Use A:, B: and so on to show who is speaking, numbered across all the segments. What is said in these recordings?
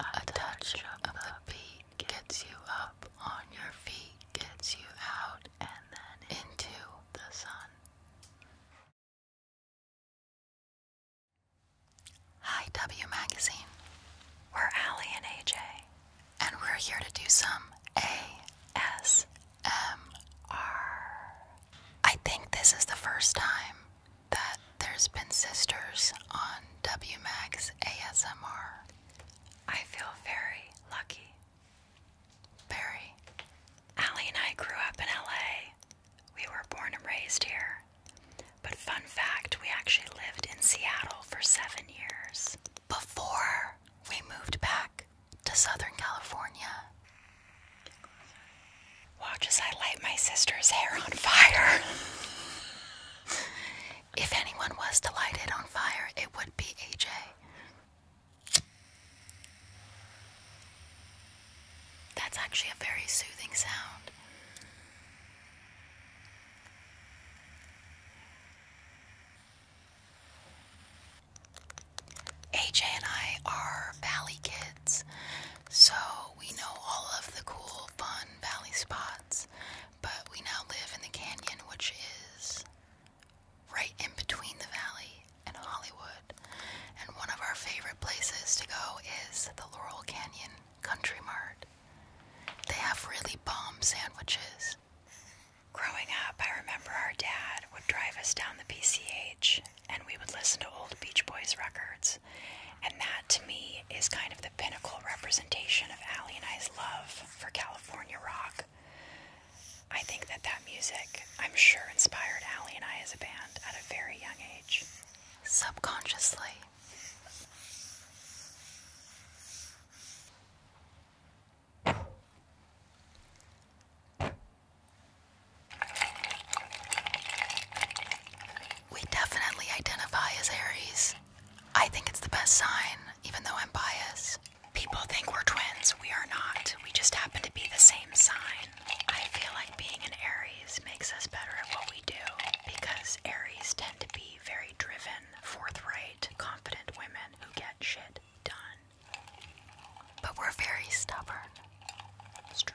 A: A touch of the beat gets you up on your feet, gets you out and then into the sun. Hi, W Magazine. We're Allie and AJ, and we're here to do some ASMR. I think this is the first time that there's been sisters on WMAG's ASMR. I feel very lucky. Very. Allie and I grew up in LA. We were born and raised here. But fun fact, we actually lived in Seattle for seven years before we moved back to Southern California. Watch as I light my sister's hair on fire. if anyone was to light it on fire, it would be AJ. That's actually a very soothing sound. AJ and I are valley kids. So we know all of the cool, fun valley spots, but we now live in the canyon, which is right in between the valley and Hollywood. And one of our favorite places to go is the Laurel Canyon Country Mart. They have really bomb sandwiches. Growing up, I remember our dad would drive us down the PCH and we would listen to old Beach Boys records. And that to me is kind of the pinnacle representation of Allie and I's love for California rock. I think that that music, I'm sure, inspired Allie and I as a band at a very young age, subconsciously. We definitely identify as Aries. I think it's the best sign, even though I'm biased. People think we're twins. We are not. We just happen to be the same sign. I feel like being an Aries makes us better at what we do because Aries tend to be very driven, forthright, confident women who get shit done. But we're very stubborn. Stubborn.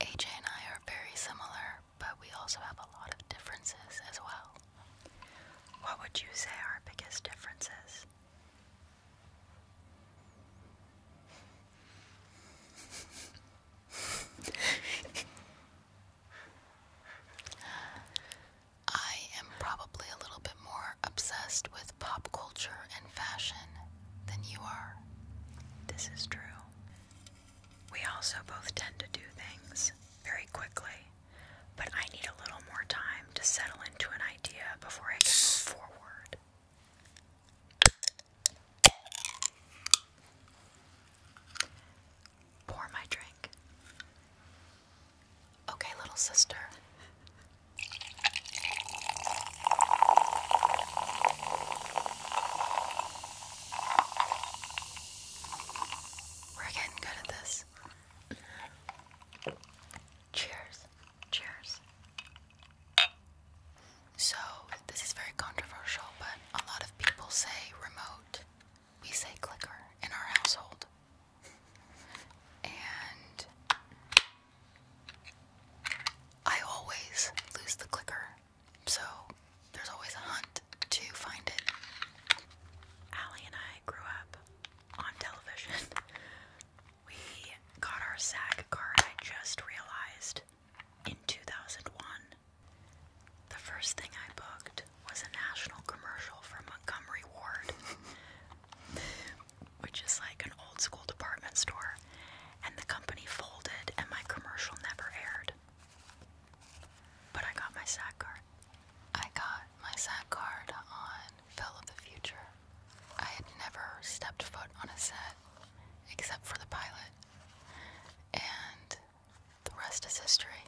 A: AJ and I are very similar, but we also have a lot of differences as well. What would you say our biggest differences? I am probably a little bit more obsessed with pop culture and fashion than you are. This is true. We also both tend to do things very quickly, but I need a little more time to settle into an idea before I can move forward. Pour my drink. Okay, little sister. We're getting good at this. Cheers. Cheers. So, this is very controversial, but a lot of people say remote. We say clicker in our household. And I always lose the clicker so there's always a hunt to find it. Allie and I grew up on television. we got our SAG card, I just realized, in 2001. The first thing I booked was a national commercial for Montgomery Ward, which is like an old school department store and the company folded, and my commercial never aired. But I got my SAG card. I got my SAG card on Phil of the Future. I had never stepped foot on a set except for the pilot, and the rest is history.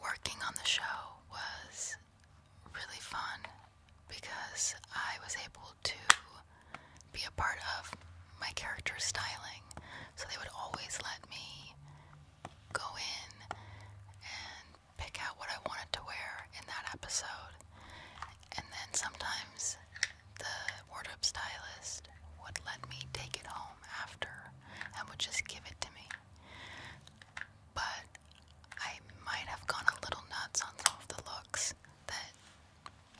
A: Working on the show was really fun because I was able to be a part of my character styling. So they would always let me go in and pick out what I wanted to wear in that episode. And then sometimes the wardrobe stylist would let me take it home after and would just give it to me. But I might have gone a little nuts on some of the looks that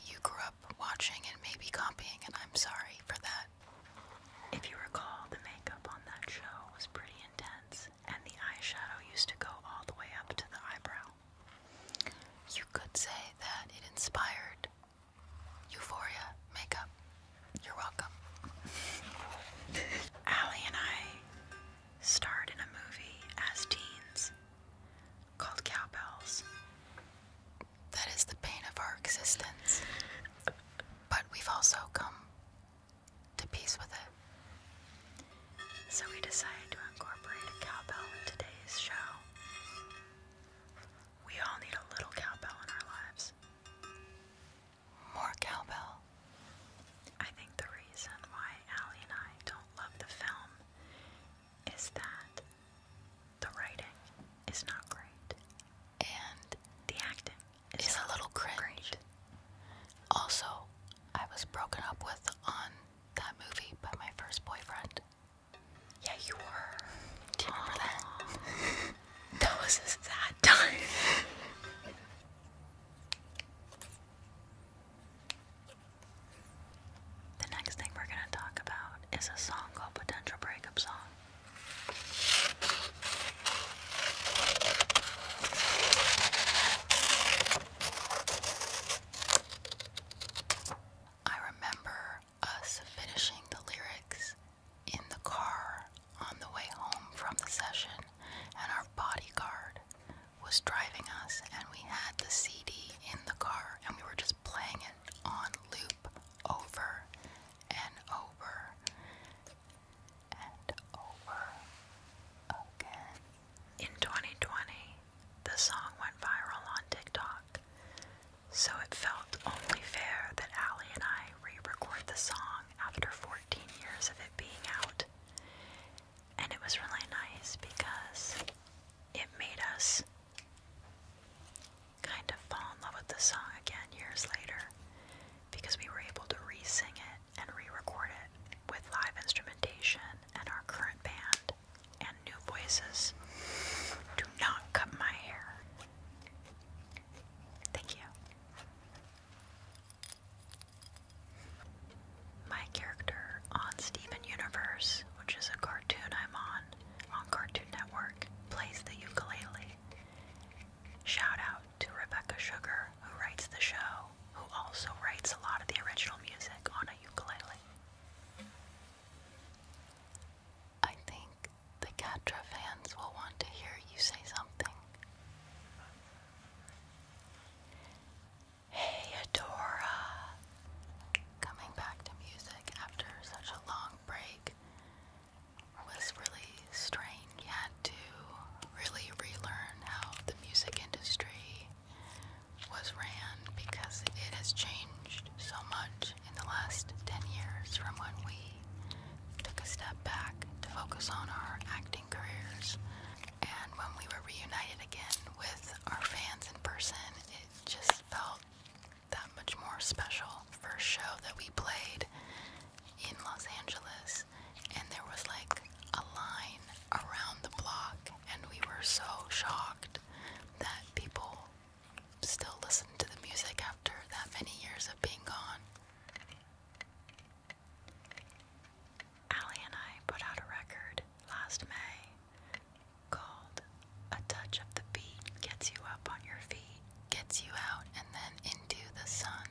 A: you grew up watching and maybe copying, and I'm sorry for that. If you recall, the makeup on that show was pretty intense, and the eyeshadow used to go all the way up to the eyebrow. You could say that it inspired euphoria makeup. You're welcome. Allie and I starred in a movie as teens called cowbells. That is the pain of our existence. But we've also come to peace with it. So we decided to incorporate a cowbell in today's show. We all need a little cowbell in our lives. More cowbell. I think the reason why Allie and I don't love the film is that the writing is not great, and the acting is, is a little cringe. Also, I was broken up with on that movie by my first boyfriend. Yeah, you were. Do you that? that was a sad time. The next thing we're going to talk about is a song called Potential Breakup Song. I remember us finishing the lyrics in the car on the way home from the session, and our bodyguard was driving us, and we had the CD in the car, and we were just playing it on loop over and over and over again. In 2020, the song went viral on TikTok, so it felt only fair that Allie and I re record the song after 14 years of it being out and it was really nice because it made us kind of fall in love with the song again years later because we were able to re sing it and re record it with live instrumentation and our current band and new voices. Do not cut my hair. Thank you. My character on Steven Universe, which is a cartoon I'm on, on Cartoon Network, plays the ukulele. Shout out to Rebecca Sugar, who writes the show, who also writes a lot of the original music on a ukulele. I think the Catra fans will want to hear you say something. Hey Adora! Coming back to music after such a long break was really strange. You had to really relearn how the music industry was ran because it has changed so much in the last 10 years from when we took a step back to focus on our acting careers and when we were reunited again with our fans in person, it just felt that much more special. First show that we played in Los Angeles, and there was like a line around the block, and we were so shocked that people still listened to the music after that many years of being gone. Allie and I put out a record last May called A Touch of the Beat Gets You Up on Your Feet, Gets You Out and Then Into the Sun.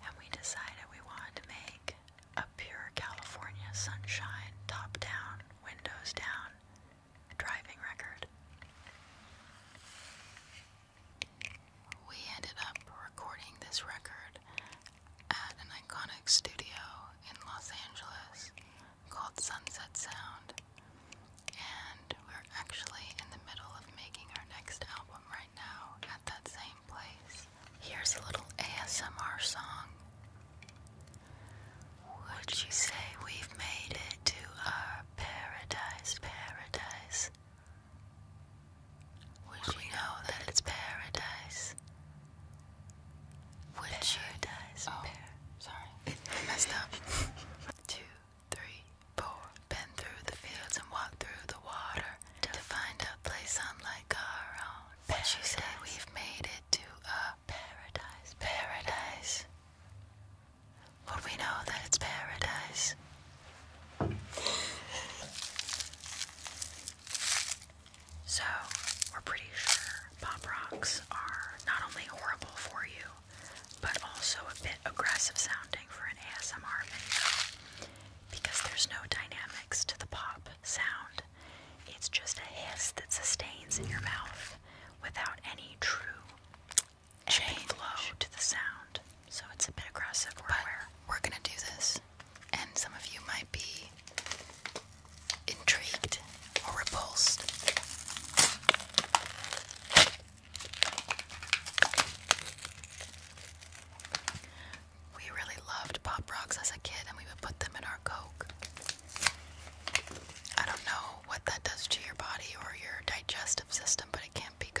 A: And we decided we wanted to make a pure California sunshine, top down, windows down, driving record. We ended up recording this record at an iconic studio in Los Angeles called Sunset Sound. And we're actually in the middle of making our next album right now at that same place. Here's a little ASMR song. Would you say we've made it to our paradise, paradise? Would we know that it's paradise? Would pair. you dice oh, Sorry, I messed up. Two, three, four. Bend through the fields and walk through the water to, find a place unlike our own. But you say we've made it to a paradise. Paradise. Would we know that it's paradise? So, we're pretty sure pop rocks are not only horrible for you, but also a bit aggressive sounding for an ASMR video because there's no dynamics to the pop sound. It's just a hiss that sustains in your mouth without any true change flow to the sound. So, it's a bit aggressive. but we're gonna do this and some of you might be intrigued or repulsed. We really loved Pop Rocks as a kid, and we would put them in our Coke. I don't know what that does to your body or your digestive system, but it can't be good.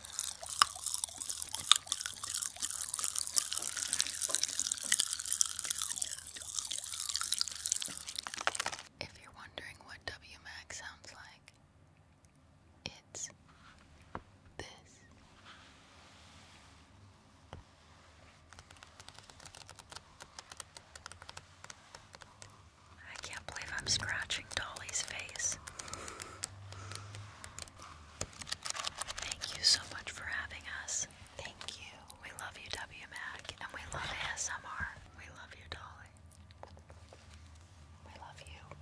A: If you're wondering what WMAC sounds like, it's this. I can't believe I'm scratching. Dolly's face. Thank you so much for having us. Thank you. We love you, W Mac, and we love ASMR. We love you, Dolly. We love you.